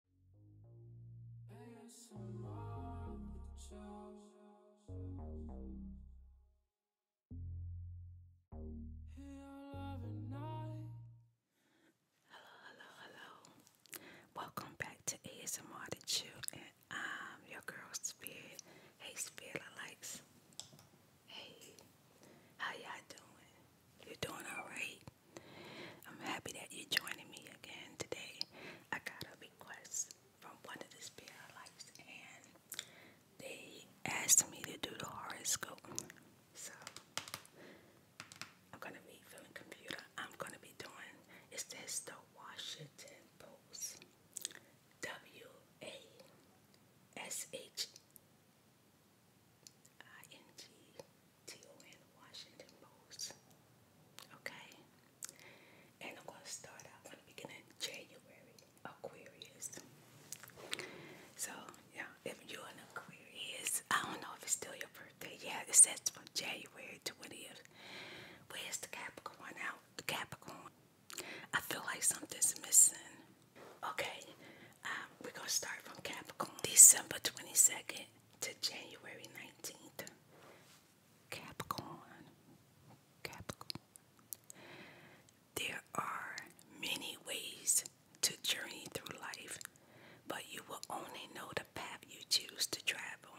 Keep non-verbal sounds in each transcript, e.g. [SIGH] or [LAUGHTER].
hello, hello. Welcome back to ASMR The Chew, and I'm your girl Spirit. Hey, Spirit Likes. Hey, how y'all doing? You doing all right? I'm happy that you're joining me again today. I got a request from one of the spiritualites, and they asked me to do the horoscope. So I'm gonna be from the computer. I'm gonna be doing. It's says the Washington Post. W A S H I N G till Washington Post. Okay? And I'm going to start out from the beginning of January, Aquarius. So, yeah, if you're an Aquarius, I don't know if it's still your birthday. Yeah, it says from January 20th. Where's the Capricorn out? The Capricorn. I feel like something's missing. Okay, um, we're going to start from Capricorn. December 22nd to January 19th. Capricorn. Capricorn. There are many ways to journey through life, but you will only know the path you choose to travel.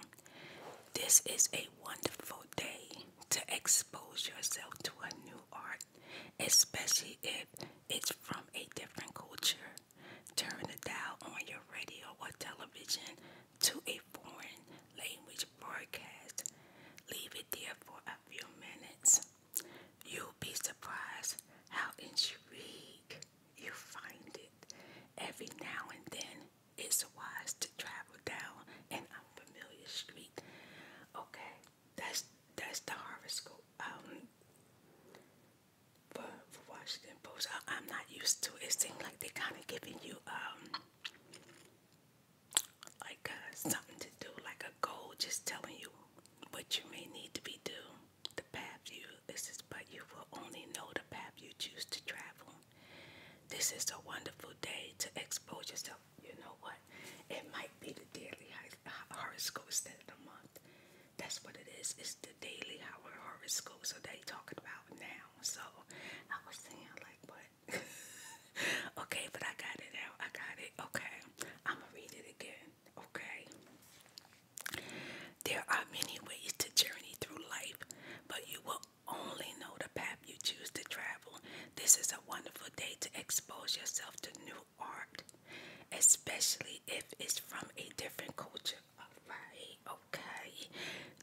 This is a wonderful day to expose yourself to a new art, especially if it's from a different culture. Turn the dial on your radio or television to a foreign language broadcast. Leave it there for a few minutes. You'll be surprised how intrigued you find it. Every now and then, it's wise to travel down an unfamiliar street. Okay, that's that's the horoscope. Um, for, for Washington Post. I, am not used to. It seems like they're kind of giving you um like uh, something to do, like a goal, just telling you what you may need to be do. The path you this is, but you will only know the path you choose to travel. This is a wonderful day to expose yourself. You know what? It might be the daily horoscope instead of the month. That's what it is. It's the daily hour school. So they talking about now. So I was saying like what? [LAUGHS] okay, but I got it out. I got it. Okay. I'ma read it again. Okay. There are many ways to journey through life, but you will only know the path you choose to travel. This is a wonderful day to expose yourself to new art, especially if it's from a different culture. Alright, okay.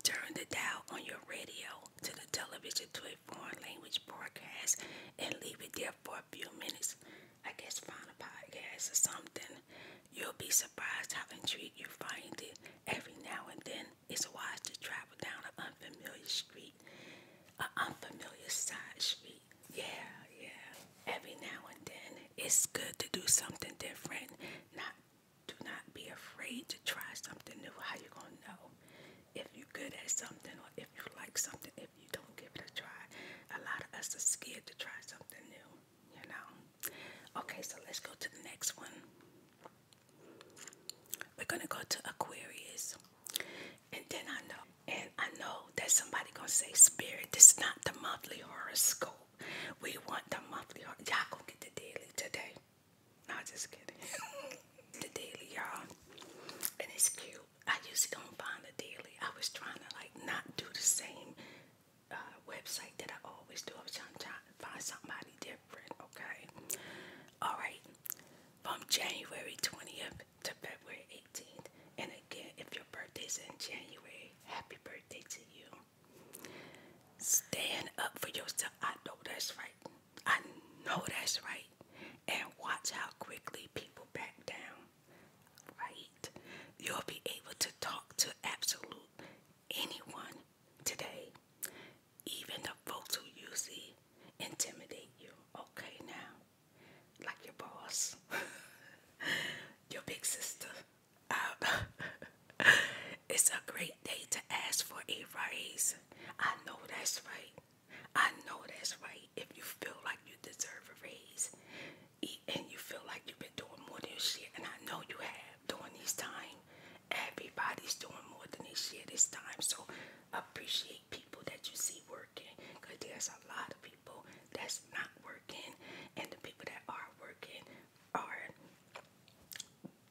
Turn the dial on your radio to the television to a foreign language broadcast and leave it there for a few minutes. I guess find a podcast or something. You'll be surprised how intrigued you find it. Every now and then, it's wise to travel down an unfamiliar street, an unfamiliar side street. Yeah, yeah every now and then it's good to do something different. Not do not be afraid to try something new. How you gonna know if you're good at something or if you like something if you don't give it a try? A lot of us are scared to try something new, you know. Okay, so let's go to the next one. We're gonna go to Aquarius, and then I know, and I know that somebody gonna say, "Spirit, this is not the monthly horoscope." We want the monthly. Y'all gonna get the daily today. No, just kidding. [LAUGHS] the daily, y'all. And it's cute. I usually don't find the daily. I was trying to like not do the same uh, website that I always do. I was trying, to find somebody different, okay? Alright. From January 20th to February 18th. And again, if your birthday's in January, Happy birthday to you. Stand up for yourself. I know that's right. I know that's right. And watch how quickly people back down. Right? You'll be able to talk to absolute anyone today. Even the folks who you see intimidate you. Okay, now. Like your boss, [LAUGHS] your big sister. [LAUGHS] it's a great day to ask for a raise. I know that's right. I know that's right. If you feel like you deserve a raise and you feel like you've been doing more than this shit, and I know you have during this time, everybody's doing more than this shit this time. So appreciate people that you see working because there's a lot of people people that's not working and the people that are working are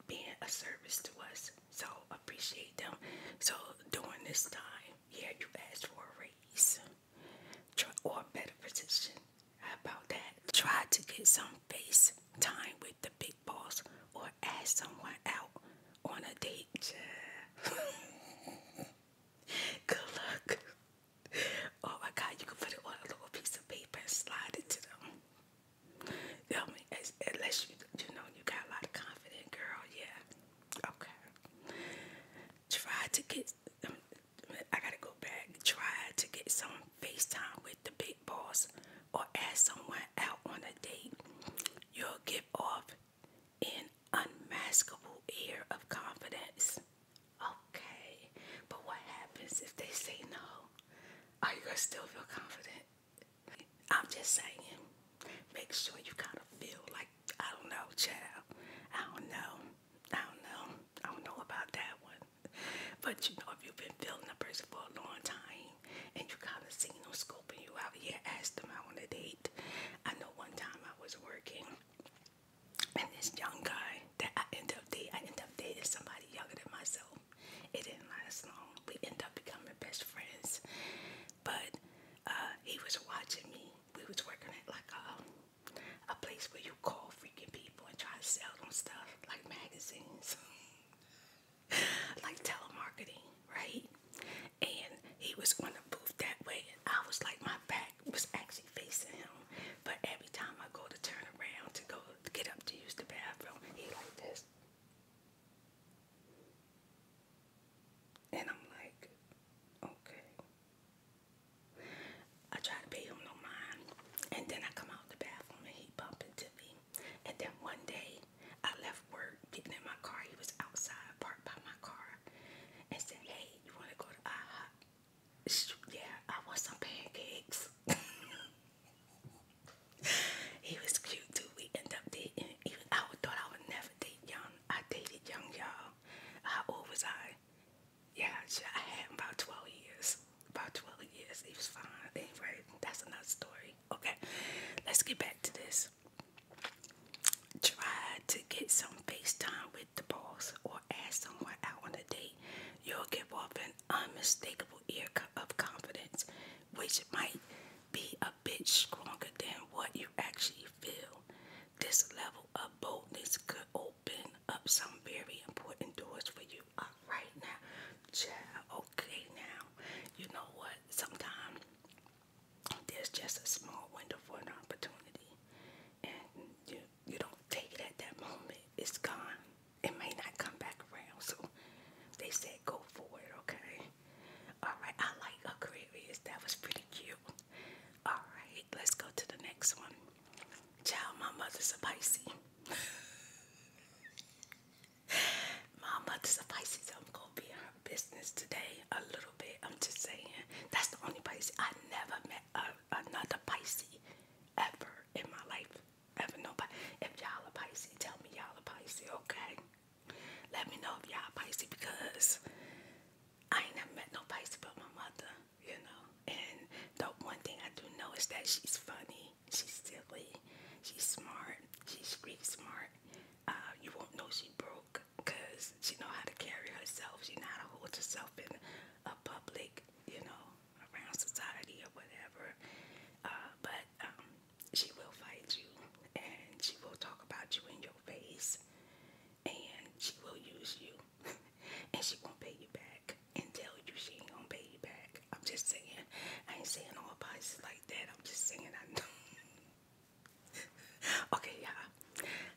being a service to us. So appreciate them. So during this time, yeah, you asked for a raise Try, or a better position. about that? Try to get some face time with the big boss or ask someone out on a date. [LAUGHS] Good luck. Oh my God, you can put it on a little piece of paper and slide it to them. You know unless you, you know, you got a lot of confident girl, yeah. Okay. Try to get, um, I gotta go back. Try to get some FaceTime with the big boss or ask someone out on a date. You'll give off an unmaskable air of confidence. Okay, but what happens if they say no? Are you gonna still feel confident? I'm just saying, make sure you kind of feel like, I don't know, child. I don't know. I don't know. I don't know about that one. But you know, if you've been feeling a person for a long time and you kind of seen them scoping you out, yeah, ask them out on a date. I know one time I was working and this young guy that I end up dating, I end up dating somebody younger than myself. It didn't last long. We end up becoming best friends, but uh, he was watching me. We was working at like a, a place where you call freaking people and try to sell them stuff like magazines, [LAUGHS] like telemarketing, right? And he was on the booth that way, I was like, my back was actually facing him. But every time I go to turn around to go get up to use the bathroom, he like this. And I'm like, okay. I try to pay him no mind. And then I come out the bathroom and he bump into me. And then one day I left work getting in my car. He was outside parked by my car and said, Hey, you wanna go to IHOP? yeah, I want some pancakes. [LAUGHS] he was cute too. We end up dating. Even I thought I would never date young. I dated young, y'all. How old was I? Yeah, I had about 12 years. About 12 years. He was fine. Anyway, that's another story. Okay, let's get back to this. Try to get some FaceTime with the boss or or ask out on a date, you'll give off an unmistakable air of confidence, which might be a bit stronger than what you actually feel. This level of boldness could open up some very important doors for you. All right now, child. Okay now, you know what? Sometimes there's just a small window for an opportunity, and you you don't take it at that moment, it's gone. It may not come back around. So they said go for it, okay? Alright, I like Aquarius. That was pretty cute. Alright, let's go to the next one. Child, my mother's a Pisces. [LAUGHS] my mother's a Pisces. I'm gonna be in her business today a little bit. I'm just saying. That's the only Pisces I never met another Pisces ever in my life. Ever nobody. If y'all are Pisces, tell me y'all are Pisces, okay? Let me know if y'all Pisces because I ain't never met no Pisces but my mother, you know. And the one thing I do know is that she's funny, she's silly, she's smart, she's street smart. Uh, you won't know she broke because she know how to carry herself. She know how to hold herself in a public, you know, around society or whatever. Uh, but um, she will fight you and she will talk about you in your face and she will use you [LAUGHS] and she won't pay you back and tell you she ain't gonna pay you back. I'm just saying, I ain't saying all no apologies like that. I'm just saying I know. [LAUGHS] okay, you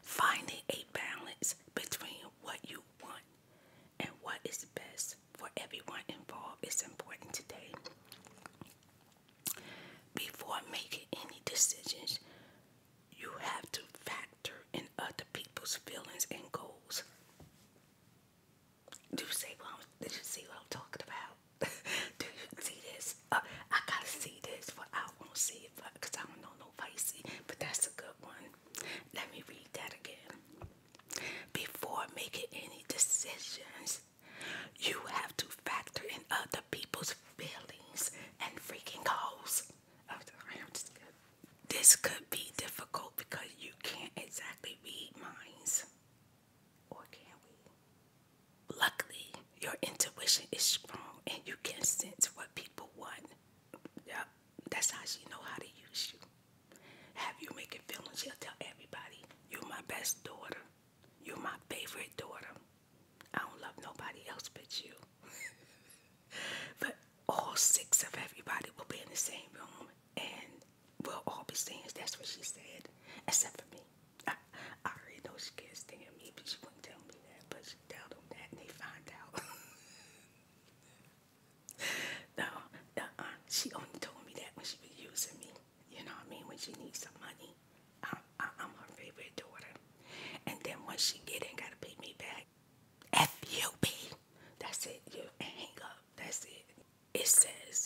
Finding a balance between what you want and what is best for everyone involved is important today. Before making any decisions, you have to factor in other people's feelings and goals. Do you see what I'm, did you see what I'm talking about? [LAUGHS] Do you see this? Uh, I gotta see this, for I won't see because I don't know no Pisces, but that's a good one. Let me read that again. Before making any decisions, you have to factor in other people's feelings and freaking goals. Oh, this could be difficult because you can't exactly read minds. Or can we? Luckily, your intuition is strong and you can sense what people want yeah, that's how she know how to use you. Have you making feelings? She'll tell everybody, "You're my best daughter. You're my favorite daughter. I don't love nobody else but you." [LAUGHS] but all six of everybody will be in the same room, and we'll all be saying, "That's what she said," except for me. I, [LAUGHS] I already know she can't stand me, but she wouldn't tell me that. But should tell that and they find out. [LAUGHS] no, uh -uh. she only told me that when she was using me. You know what I mean? When she needs some money. I'm, her favorite daughter. And then once she get in, gotta pay me back. F you, F-U-P. That's it. You hang up. That's it. It says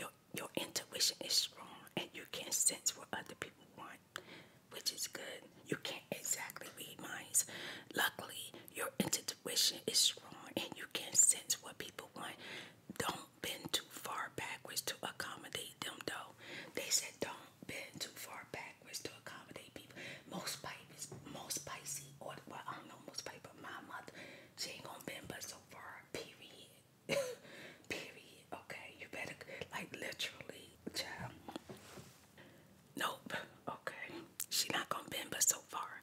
your your intuition is strong and you can sense what other people want on, which is good. You can't exactly read minds. Luckily, your intuition is strong and you can sense what people want. Don't bend too far backwards to accommodate them, though. They said don't bend too far backwards to accommodate people. Most Pisces, most spicy, or well, I don't know most spicy, but my mother, she ain't gonna bend but so far. Period. [LAUGHS] Period. Okay, you better like literally, child. Nope. Okay. She not gonna bend but so far.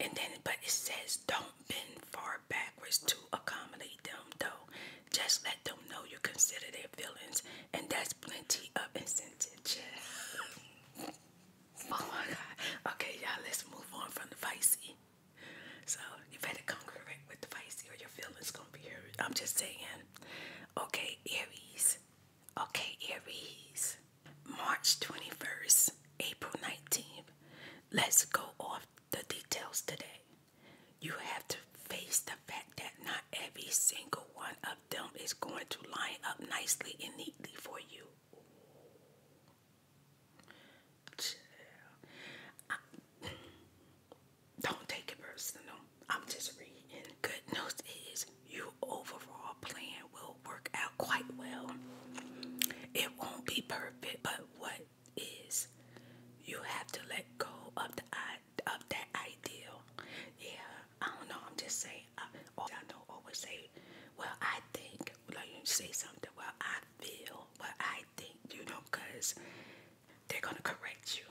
And then but it says don't bend far backwards to accommodate them though. Just let them know you consider their feelings and that's plenty of incentive. [LAUGHS] oh my god. Okay y'all let's move on from the vicey. So you better come with the vicey or your your feelings gonna be hurt. I'm just saying. Okay, Aries. Okay, Aries. March 21st, April 19th. Let's go off the details today. You have to face the fact that not every single one of them is going to line up nicely and neatly for you. Don't take it personal. I'm just reading. Good news is your overall plan will work out quite well. It won't be perfect, but what is you have to let go of the of that ideal. Yeah, I don't know. I'm just saying. I, I know always say, well, I think. Like you say something. Well, I feel. Well, I think. You know, cause they're gonna correct you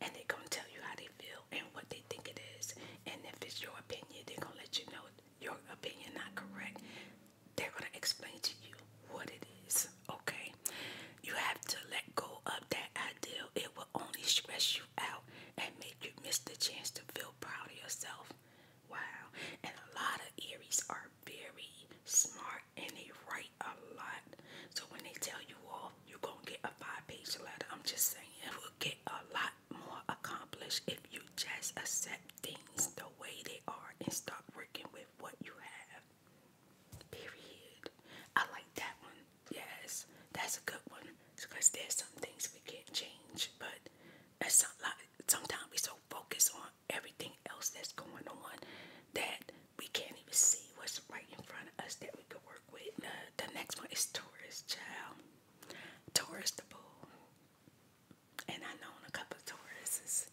and they're gonna tell you how they feel and what they think it is. And if it's your opinion, they're gonna let you know your opinion not correct. They're gonna explain to you what it is. Okay, you have to let go of that ideal. It will only stress you out and make you miss the chance to feel proud of yourself. Wow, and a lot of Aries are very smart and they write a lot. So when they tell you all you gonna get a five-page letter. I'm just saying it will get a lot more accomplished if you just accept things the way they are and start working with what you have. Period. I like that one. Yes, that's a good one because there's some things we can't change, but it's not like sometimes we so focused on everything else that's going on that we can't even see what's right in front of us that we could work with. the next one is Taurus, child. Taurus the bull. And I know a couple of Tauruses.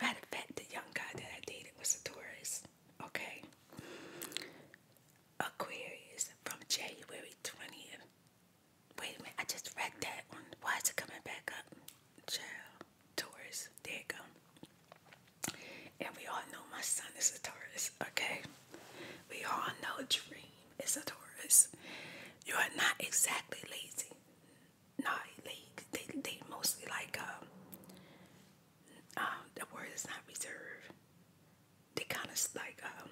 Matter of fact, the young guy that I dated was a Taurus. Okay. Aquarius from January 20th. Wait a minute, I just read that one. Why is it coming back up? Child, Taurus, there you go. And we all know my son is a Taurus, okay? We all know Dream is a Taurus. You are not exactly lazy. not lazy. they, they mostly like, um, um, the word is not reserved. They kind of like, um,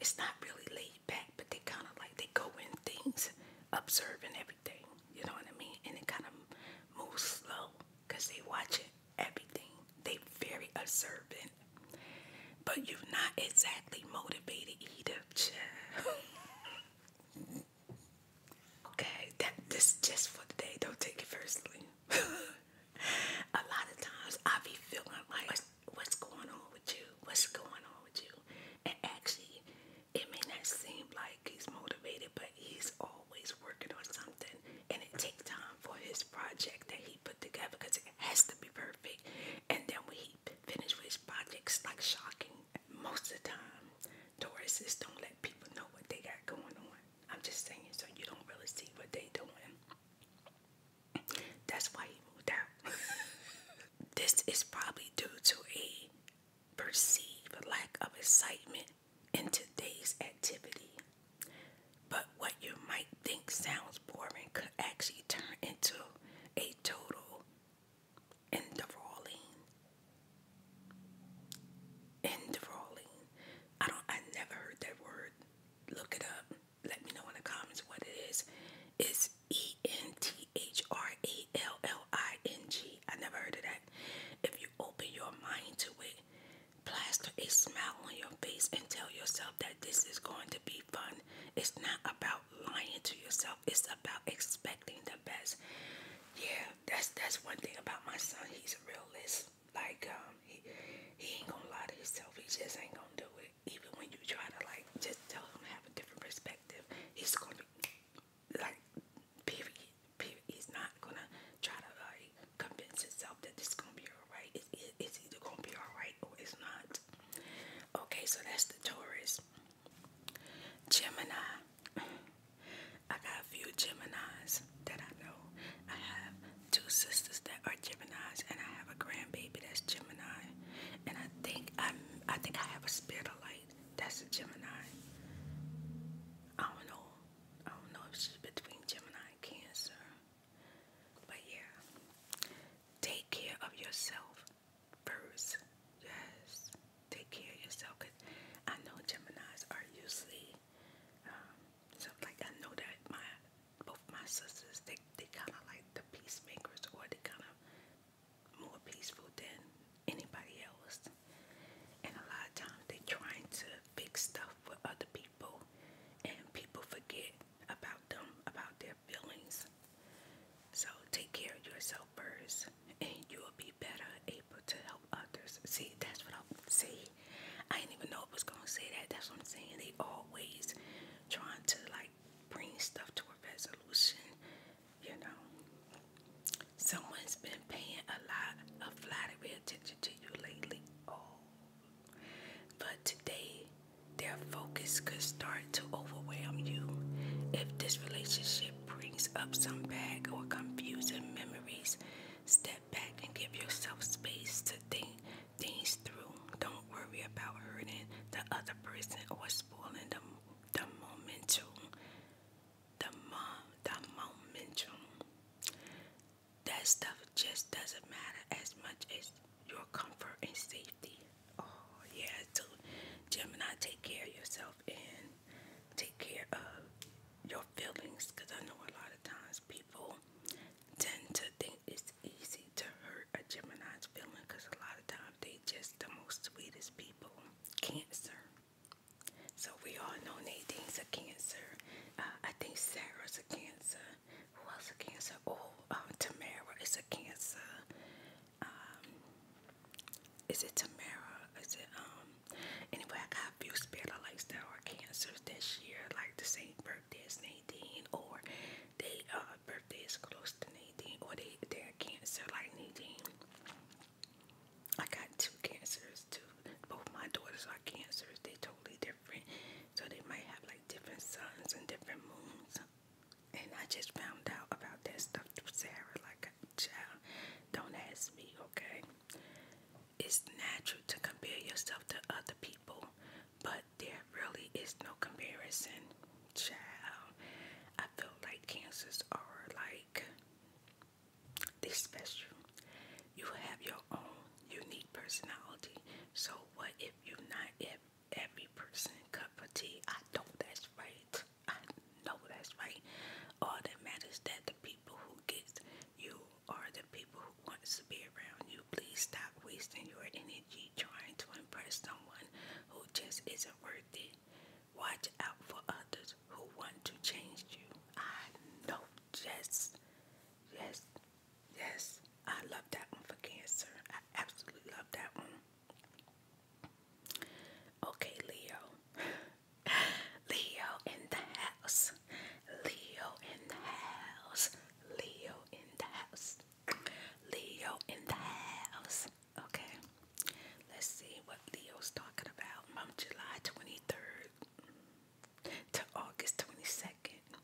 it's not really laid back, but they kind of like, they go in things, observing everything, you know what I mean? And it kind of moves slow because they watching everything. They very observant. But you're not exactly motivated either, child. [LAUGHS] okay, that this just for the day. Don't take it personally. [LAUGHS] a lot of times I be feeling like what's going on with you? What's going on with you? And actually, it may not seem like he's motivated, but he's all always working on something and it takes time for his project that he put together because it has to be perfect. And then when he finishes with his projects, like shocking, most of the time, Tauruses don't let people know what they got going on. I'm just saying, so you don't really see what they doing. That's why he moved out. [LAUGHS] this is probably due to a perceived lack of excitement in today's activity. But what you might think sounds boring could actually turn into a total enthralling. Enthralling. I don't I never heard that word. Look it up. Let me know in the comments what it is. It's E N T H R A L L L-I-N-G. I never heard of that. If you open your mind to it, plaster a smile on your face and tell yourself that this is going to be fun. It's not about lying to yourself. It's about expecting the best. Yeah, that's that's one thing about my son. He's a realist. Like um, he he ain't gonna lie to himself. He just ain't gonna do it. Even when you try to like just tell him have a different perspective, he's gonna be like, period. He's not gonna try to like convince himself that this is gonna be alright. It, it's either gonna be alright or it's not. Okay, so that's the Taurus. Gemini. I got a few Geminis that I know. I have two sisters that are Geminis, and I have a grandbaby that's Gemini. And I think I'm. I think I have a spirit of light. That's a Gemini. I don't know. I don't know if she's between Gemini and Cancer. But yeah, take care of yourself first. Yes, take care of yourself. Cause I know Geminis are usually, um, like I know that my both my sisters they they kind of like the peacemakers or they kind of more peaceful than anybody else. And a lot of times they're trying to fix stuff for other people, and people forget about them, about their feelings. So take care of yourself first, and you'll be better able to help others. See, that's what I'm saying. I didn't even know I was gonna say that. That's what I'm saying. They always trying to like bring stuff to a resolution, you know. Someone's been paying a lot of flattery attention to you lately. Oh. But today, their focus could start to overwhelm you if this relationship brings up some bad or confusing memories. Step back and give yourself space to think things through. Don't worry about hurting the other person or spoiling the, the momentum the mom, the momentum. That stuff just doesn't matter as much as your comfort and safety. Oh yeah, so Gemini, take care of yourself and take care of your feelings because I know a lot of times people tend to think it's easy to hurt a Gemini's feeling because a lot of times they just the most sweetest people. Cancer. So we all know Nadine's a cancer. Uh, I think Sarah's a cancer. Who else a cancer? Oh, um, Tamara is a cancer. Um, is it Tamara? Is it um? Anyway, I got a few spirit lights that are cancers this year, like the same birthday as Nadine, or they uh birthday is close to Nadine, or they they're cancer like Nadine. I got two cancers too. Both my daughters are cancers. They're totally different. So they might have like different suns and different moons. And I just found out about that stuff through Sarah. Like, a child, don't ask me, okay? It's natural to compare yourself to other people, but there really is no comparison, child. I feel like cancers are like they special. You have your own unique personality. So what if you're not if every person cup of tea? I know that's right. I know that's right. All that matters that the people who get you are the people who want to be around you. Please stop wasting your energy trying to impress someone who just isn't worth it. Watch out for others who want to change you. I know. Yes. Yes. Yes. I love that one for Cancer. I absolutely love that one. Okay, Leo. [SIGHS] Leo in the house. Leo in the house. Leo in the house. Leo in the house. Okay. Let's see what Leo's talking about. From July 23rd to August 22nd.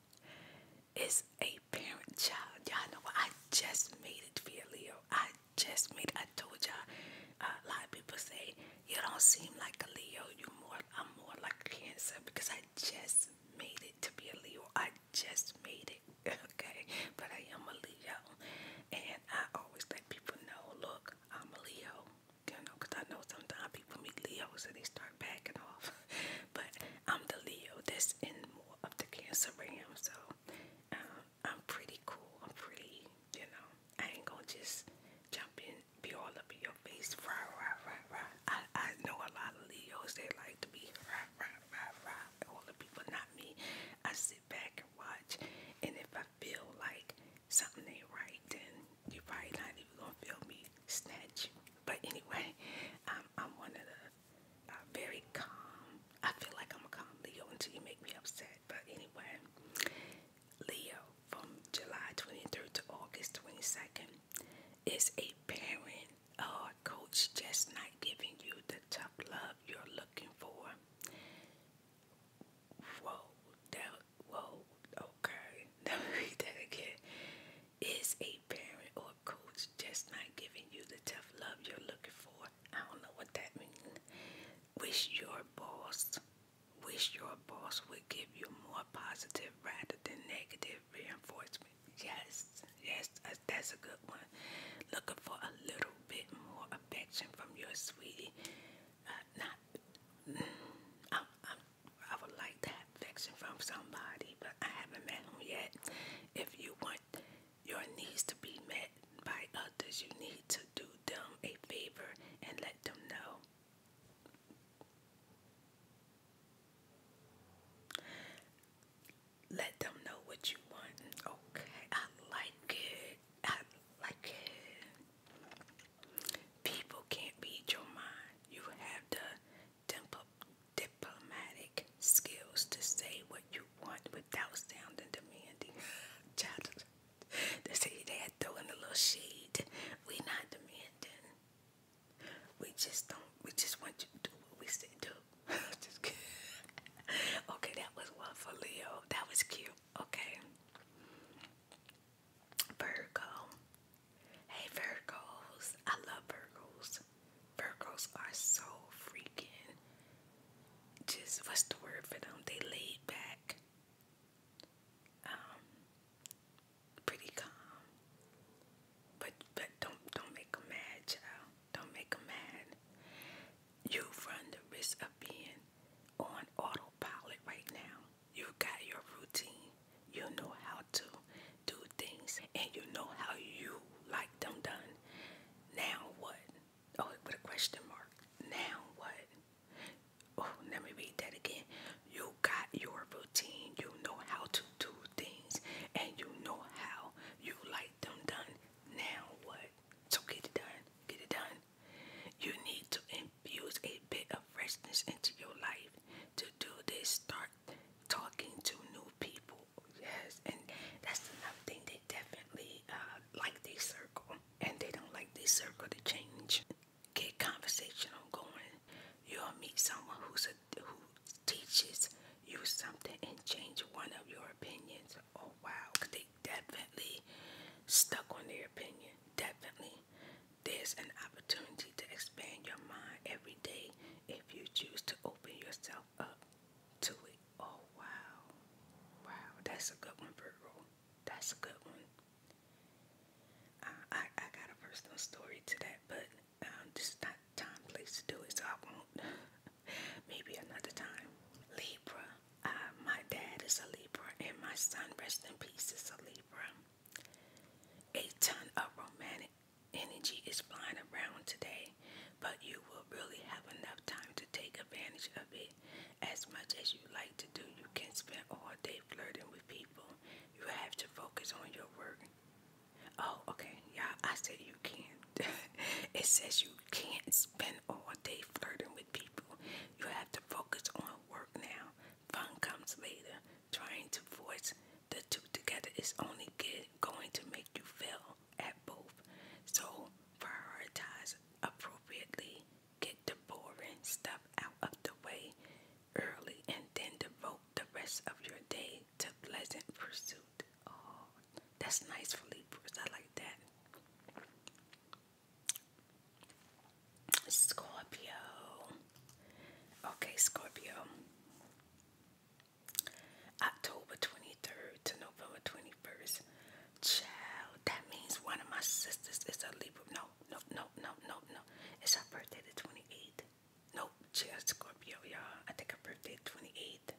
It's a parent child. Y'all know what? I just made it for Leo. I just made it. I told y'all. Uh, a lot of people say you don't seem like a Leo. You more. I'm more like a Cancer because I just made it to be a Leo. I just made it. [LAUGHS] Okay, but I am a Leo, and I always let people know. Look, I'm a Leo, you know, because I know sometimes people meet Leos and they start backing off. [LAUGHS] but I'm the Leo that's in more of the Cancer realm, so um, I'm pretty cool. I'm pretty, you know, I ain't gonna just jump in, be all up in your face, rah, rah, rah, rah. I, I know a lot of Leos, they like to be rah, rah, rah, rah. All the people, not me. I sit back and watch, and if I feel like something ain't right, then you're probably not even gonna feel me snatch you. But anyway, I'm, I'm one of the very calm. I feel like I'm a calm Leo until you make me upset. But anyway, Leo from July 23rd to August 22nd is a parent or coach just not giving you the tough love you're looking for whoa, that, whoa, okay, [LAUGHS] let me read that again. Is a parent or coach just not giving you the tough love you're looking for? I don't know what that means. Wish your boss, wish your boss would give you more positive rather than negative reinforcement. Yes, yes, that's a good one. Looking for a little bit more affection from your sweetie not. I, am I would like to affection from somebody, but I haven't met him yet. If you want your needs to be met by others, you need to do them a favor and let them know. Let them know what you want. Okay, I like it. I like it. People can't beat your mind. You have the diplomatic skills to say what you want without sounding demanding. [LAUGHS] Child, they say they're throwing a little shade. We not demanding. We just don't. We just want you to do what we say do. [LAUGHS] just kidding. [LAUGHS] Okay, that was one for Leo. That was cute. Okay. Virgo. Hey Virgos. I love Virgos. Virgos are so freaking just what's the word for them? They laid back. Um pretty calm. But but don't don't make them mad, child. Don't make them mad. You run the risk of being on auto autopilot right now. You got your routine. You know how to do things and you know how you like them done. Now what? Oh, with a question mark. Now what? Oh, let me read that again. You got your routine. You know how to do things and you know how you like them done. Now what? So get it done. Get it done. You need to infuse a bit of freshness into your life. To do this, start talking to new people. Yes, and that's another thing they definitely uh, like this circle, and they don't like this circle to change. Get conversation going. You'll meet someone who's who teaches you something and change one of your opinions oh wow, they definitely stuck on their opinion. Definitely, there's an opportunity to expand your mind every day if you choose to open yourself up to it. Oh wow, wow, that's a good one, Virgo. That's a good one. I I got a personal story to that, but um, this is not time, place to do it, so I won't. [LAUGHS] Maybe another time. Libra. Uh, my dad is a Libra, and my son, rest in peace, is a Libra. A ton of romantic energy is flying around today, but you will really have enough time to take advantage of it. As much as you like to do, you can spend all day flirting with people. You have to focus on your work. Oh, okay, yeah, I said you can't. [LAUGHS] it says you can't spend all day flirting with people. You have to focus on work now. Fun comes later. Trying to force the two together is only good, going to make you fail at both. So prioritize appropriately. Get the boring stuff out of the way early and then devote the rest of your day to pleasant pursuit. Oh, that's nice for Libras. I like that. Scorpio. Okay, Scorpio. October 23rd to November 21st. Child, that means one of my sisters is a Libra. No, no, no, no, no, no. It's her birthday the 28th. Nope, she a Scorpio, y'all. I think her birthday 28th.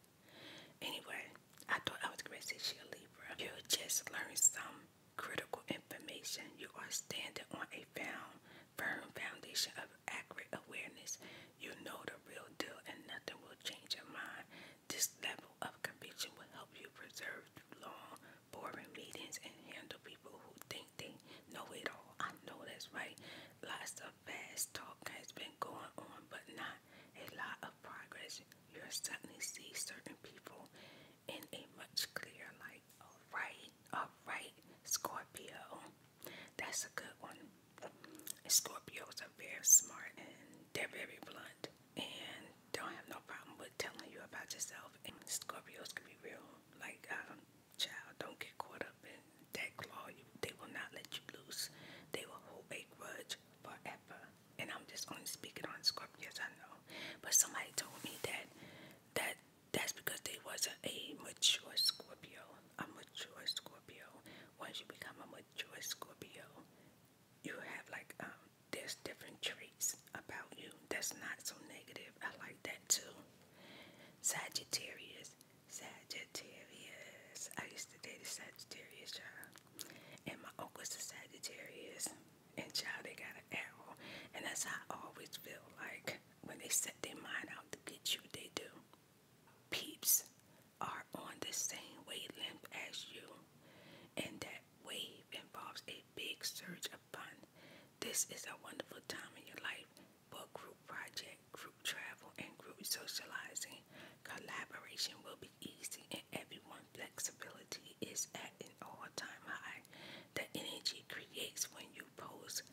Anyway, I thought I was going Libra. You just learned some critical information. You are standing on a found, firm foundation of accurate awareness. You know the real deal and nothing will change your mind. This level of conviction will help you preserve long, boring meetings and handle people who think they know it all. I know that's right. Lots of fast talk has been going on, but not a lot of progress, you'll suddenly see certain people in a much clearer light. Alright, alright, Scorpio. That's a good one. Scorpios are very smart and they're very blunt and don't have no problem with telling you about yourself. And Scorpios can be real, like, um, child, don't get caught up in that claw. they will not let you loose. They will hold a grudge forever and I'm just only speaking on script. Yes, I know, but somebody told me that that that's because they wasn't a mature Scorpio. A mature Scorpio. Once you become a mature Scorpio, you have like um there's different traits about you that's not so negative. I like that too. Sagittarius. Sagittarius. I used to date a Sagittarius, you and my uncle's a Sagittarius, and child, they got an arrow, and that's how I always feel like when they set their mind out to get you, they do. Peeps are on the same wavelength as you, and that wave involves a big surge of fun. This is a wonderful time in your life for group project, group travel, and group socializing. Collaboration will easy and everyone flexibility is at an all-time high. The energy creates when you pose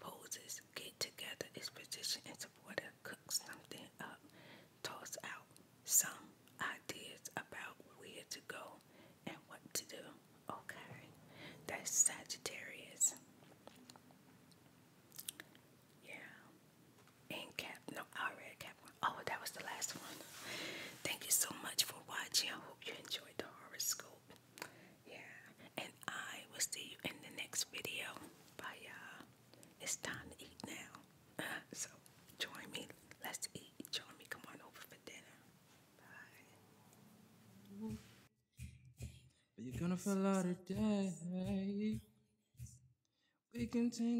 poses, get together, is position and supporter, cook something up, toss out some ideas about where to go and what to do. Okay. That's Sagittarius. Yeah and cap. No, I already cap one. Oh, that was the last one. Thank you so much for watching. I hope you enjoyed the horoscope. Yeah. And I will see you in the next video. Bye, y'all. It's time to eat now. [LAUGHS] so join me. Let's eat. Join me. Come on over for dinner. Bye. But you're gonna feel out of day. We can tangle.